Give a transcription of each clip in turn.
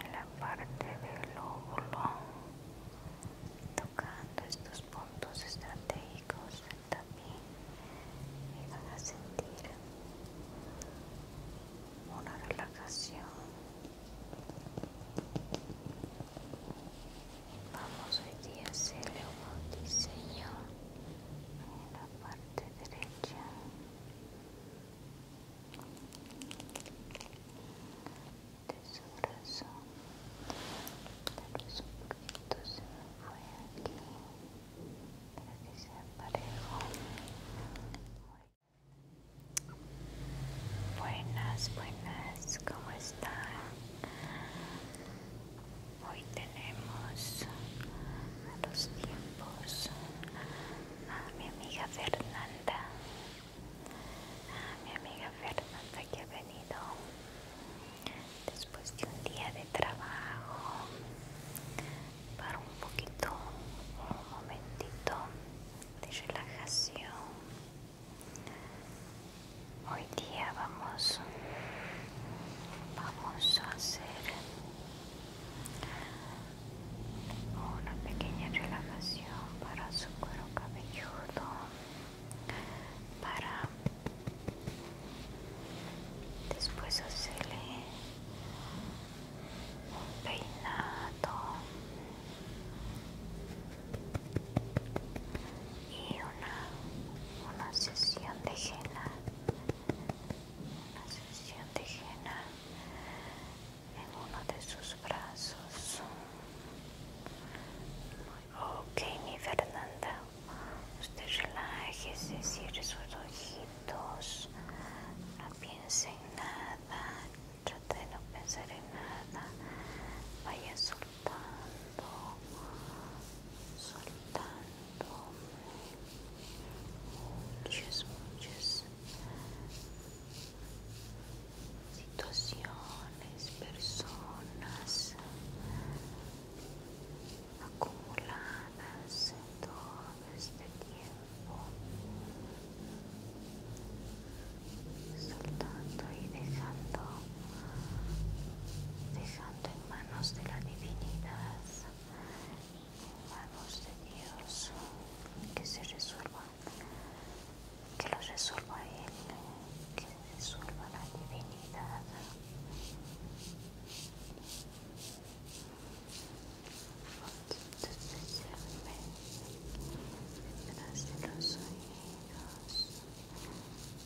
en la parte del lóbulo tocando estos puntos estratégicos también me van a sentir una relajación Vamos, hoy día a hacerle un diseño en la parte derecha. De su brazo, tal vez un poquito se me fue aquí para que sea parejo. Buenas, buenas, ¿cómo están? Hoy tenemos a los tiempos a mi amiga Fernanda, a mi amiga Fernanda que ha venido después de un día de trabajo para un poquito, un momentito de relajación hoy día vamos vamos a hacer una pequeña relajación para su cuero cabelludo para después hacerle un peinado y una, una sesión de henna una sesión de henna en uno de sus brazos ok mi Fernanda usted relájese cierre sus ojitos no piense en nada trate de no pensar en nada vaya soltando, soltando muchas, muchas situaciones, personas acumuladas en todo este tiempo soltando y dejando dejando en manos de la divinidad, en manos de Dios, que se resuelva, que lo resuelva Él, que resuelva la divinidad. Especialmente detrás de los oídos,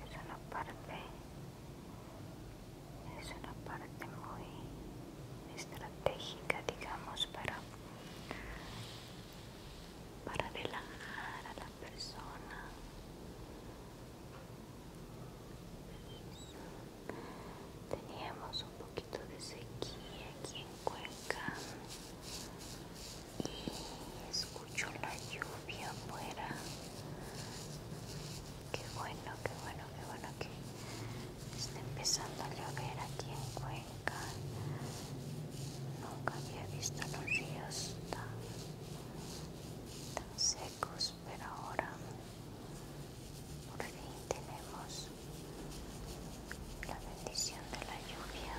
es una parte es una parte muy estratégica digamos para para relajar a la persona teníamos un poquito de sequía aquí en Cuenca escucho la lluvia afuera. Qué bueno, qué bueno, que bueno que está empezando a llover aquí en Cuenca. Nunca había visto los ríos tan secos, pero ahora por fin tenemos la bendición de la lluvia.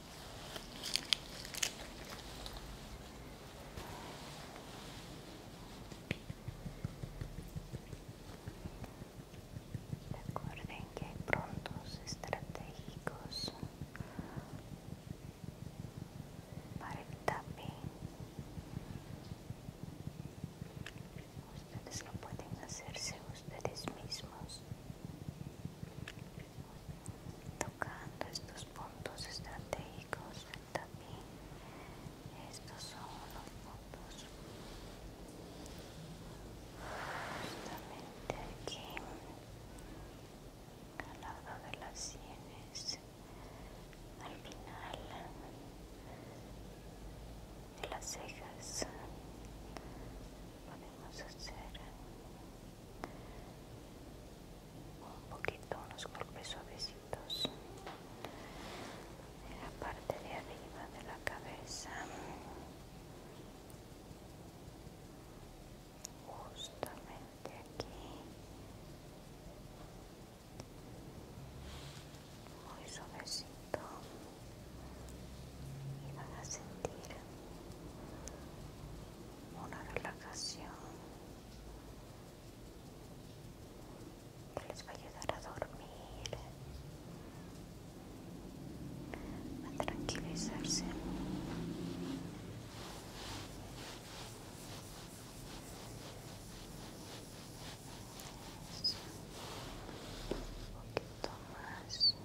Recuerden que hay prontos estratégicos para el tapping. Ustedes lo pueden hacerse ustedes mismos tocando estos puntos estratégicos también estos son los puntos justamente aquí al lado de las sienes al final de las cejas podemos hacer un poquito, unos golpes suavecitos en la parte de arriba de la cabeza justamente aquí muy suavecito y van a sentir una relajación que les va a ayudar a dormir, a tranquilizarse. Un poquito más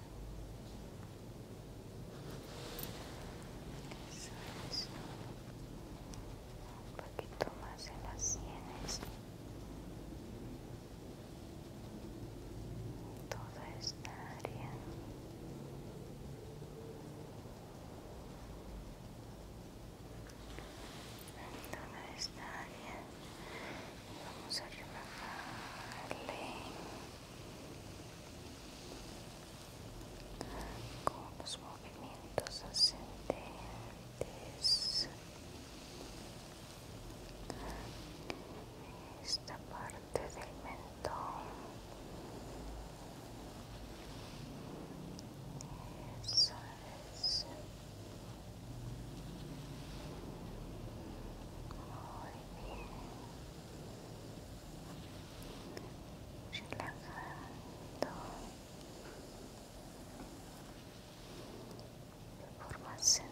un poquito más en las sienes toda esta área toda esta área y vamos a relajarle con los movimientos ascendentes esta parte del mentón muy bien relajando de forma ascendente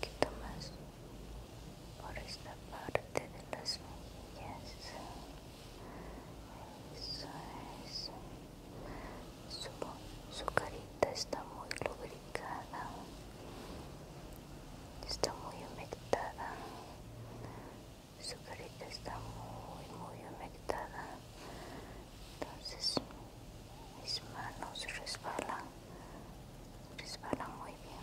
Quita más por esta parte de las mejillas. Eso es. Su, su carita está muy lubricada está muy humectada su carita está muy muy humectada entonces mis manos resbalan resbalan muy bien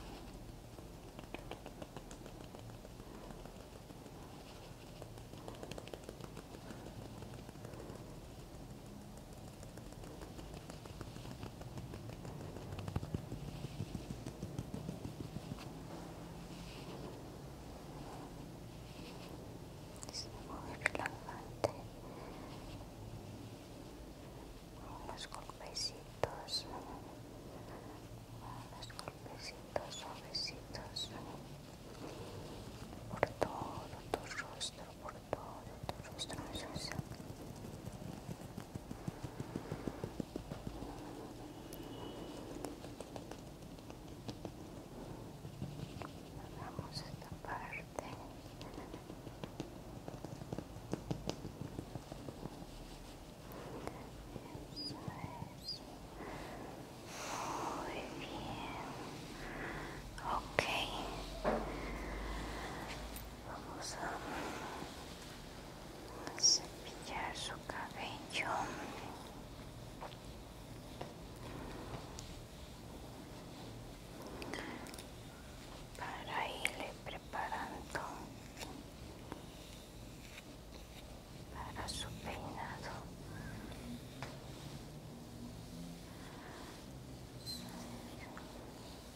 es muy relajante unos golpecitos unos golpecitos suavecitos por todo tu rostro por todo tu rostro eso Vamos a esta parte. Eso es. Muy bien. Ok vamos a cepillar su cabello para irle preparando para su peinado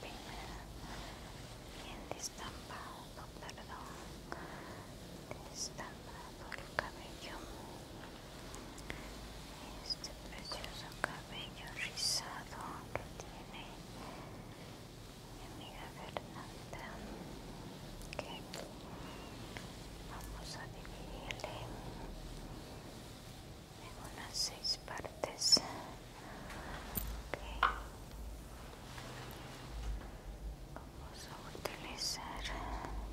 Bien, bien, bien destampado, perdón, destampado el cabello. Este precioso cabello rizado que tiene mi amiga Fernanda, Vamos a dividirle en unas seis partes. Vamos a utilizar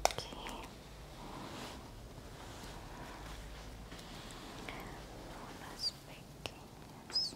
aquí. Unas pequeñas.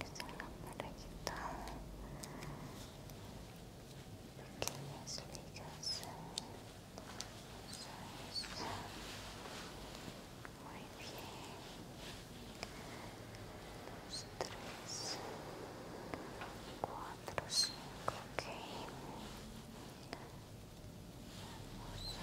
Está una parejita. Pequeñas ligas. Eso es. Muy bien. Dos, tres, cuatro, cinco. Ok. Vamos a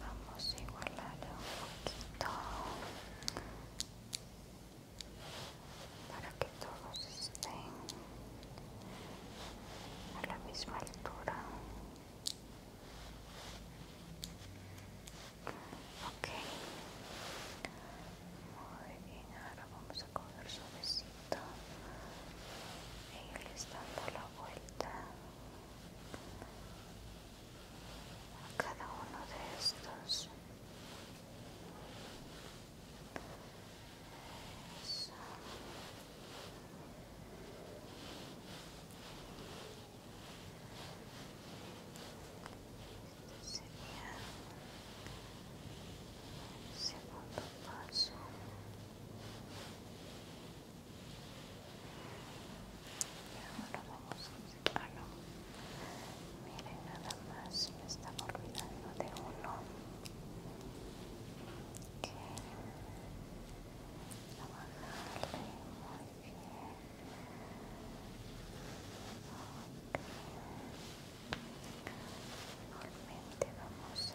vamos a igualar un poquito para que todos estén a la misma altura ok muy bien ahora vamos a coger sí irles dando la vuelta a cada uno de estos Eso. Este sería el segundo paso ahora vamos a... Ah, no. Miren, nada más me estaba olvidando de uno que a bajarle muy bien vamos a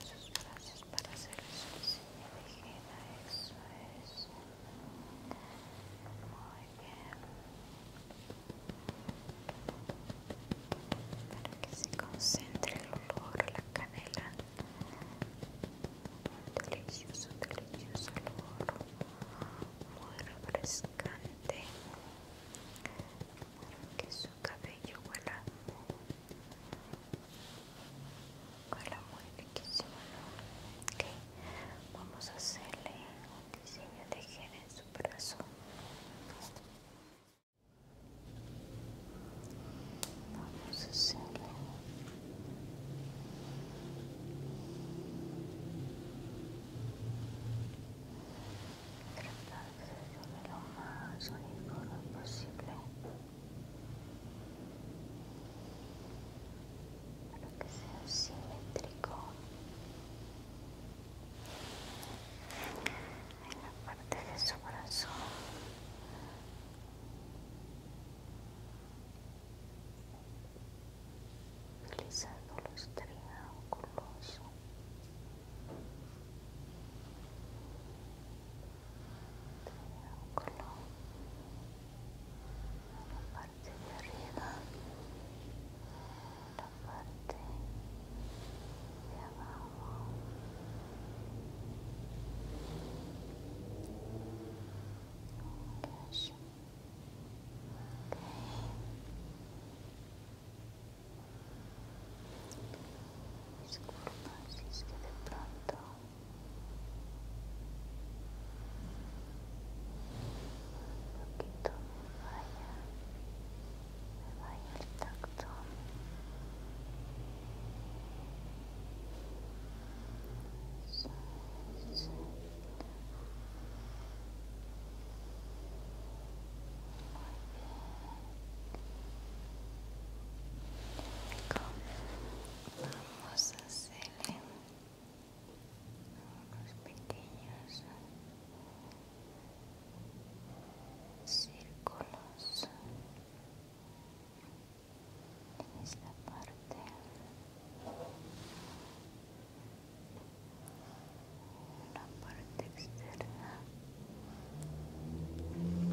sus brazos para hacer eso silla ligera, eso es muy bien para que se concentre el olor, la canela delicioso, delicioso olor, muy refrescante, que su cabello huela, huela muy riquísimo, vamos a hacerle un diseño de gel en su brazo. Vamos a hacerlo. Tratar de hacerlo lo más uniforme posible. Para que sea simétrico. En la parte de su brazo utilizando los triángulos triángulo la parte de arriba la parte de abajo Yes. Disculpa si es que de pronto un poquito me vaya, me vaya el toque vamos a hacerle unos pequeños círculos en la parte la parte externa triángulo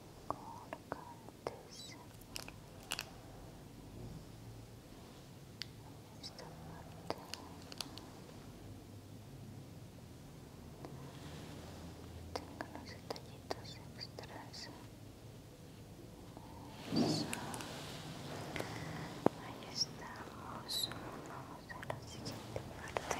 colgantes esta parte tengo los detallitos extras ahí estamos vamos a la siguiente parte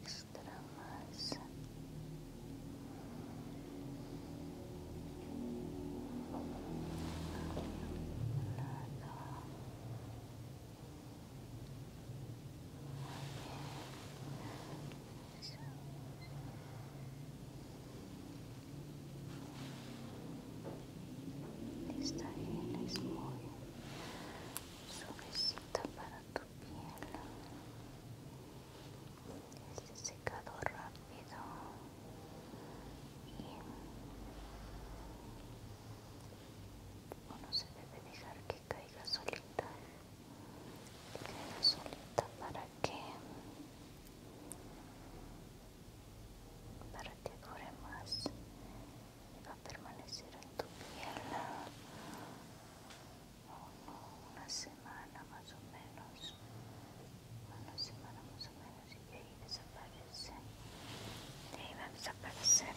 extra más lado esta gel es muy suavecita para tu piel este secado rápido y uno se debe dejar que caiga solita solita para que para que dure más va a permanecer en tu piel una semana más o menos, una semana más o menos y ahí desaparece, ahí va a desaparecer.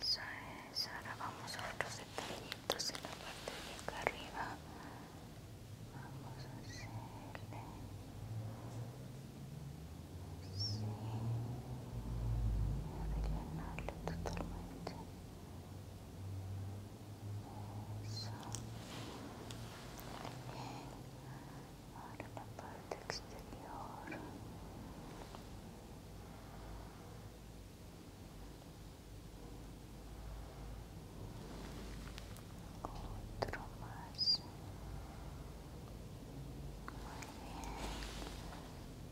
Eso es, ahora vamos a otros detallitos en la parte de acá arriba. Vamos a hacerle debe llenarle totalmente eso bien ahora la parte exterior otro más muy bien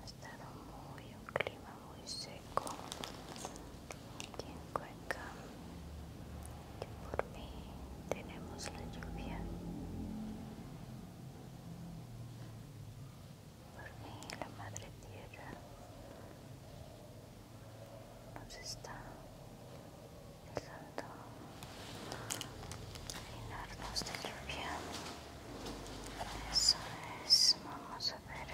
ha estado muy un clima muy seco aquí en Cuenca y por mí tenemos la lluvia por mí la madre tierra nos está dejando llenarnos de lluvia eso es, vamos a ver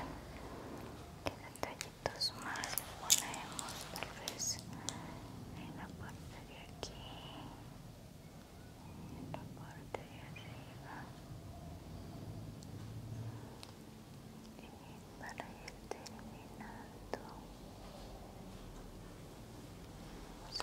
qué detallitos más ponemos, tal vez en la parte de aquí, en la parte de arriba y para ir terminando vamos a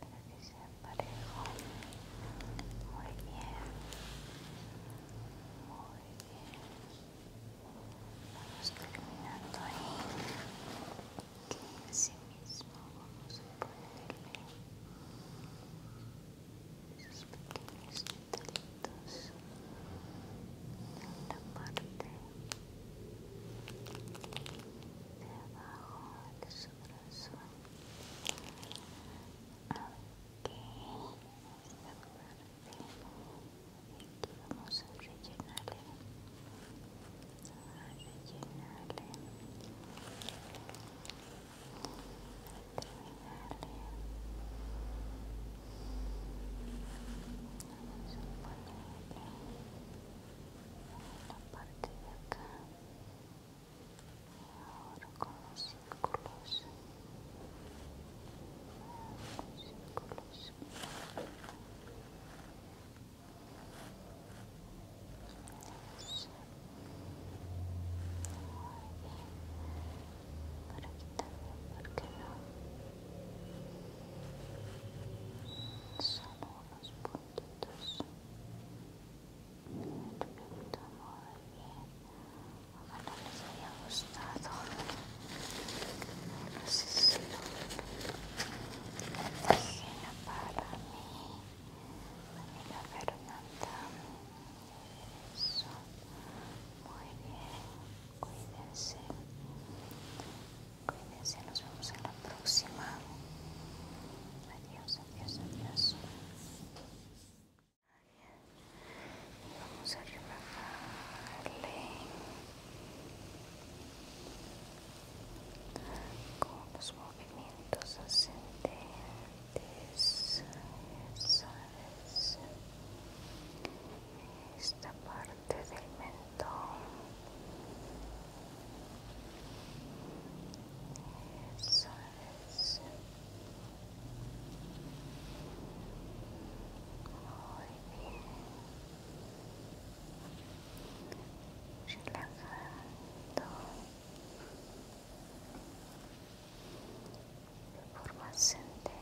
para que sea parejo. Muy bien. Muy bien. Vamos terminando ahí. Y así mismo vamos a ponerle esos pequeños detallitos en la parte de abajo, de su brazo aquí esta parte aquí vamos a rellenarle a rellenarle Vamos a ponerle la parte de acá y ahora con los círculos los círculos para Por aquí también, ¿por qué no? Solo unos puntitos. Me repito muy bien. Ojalá les haya gustado. No sé si lo para mí. María Fernanda. Eso. Muy bien. Cuídense. Cuídense, nos vemos en la próxima. Adiós, adiós, adiós. Y vamos a relajarle con los movimientos ascendentes esta parte del mentón eso es muy bien relajando de forma ascendente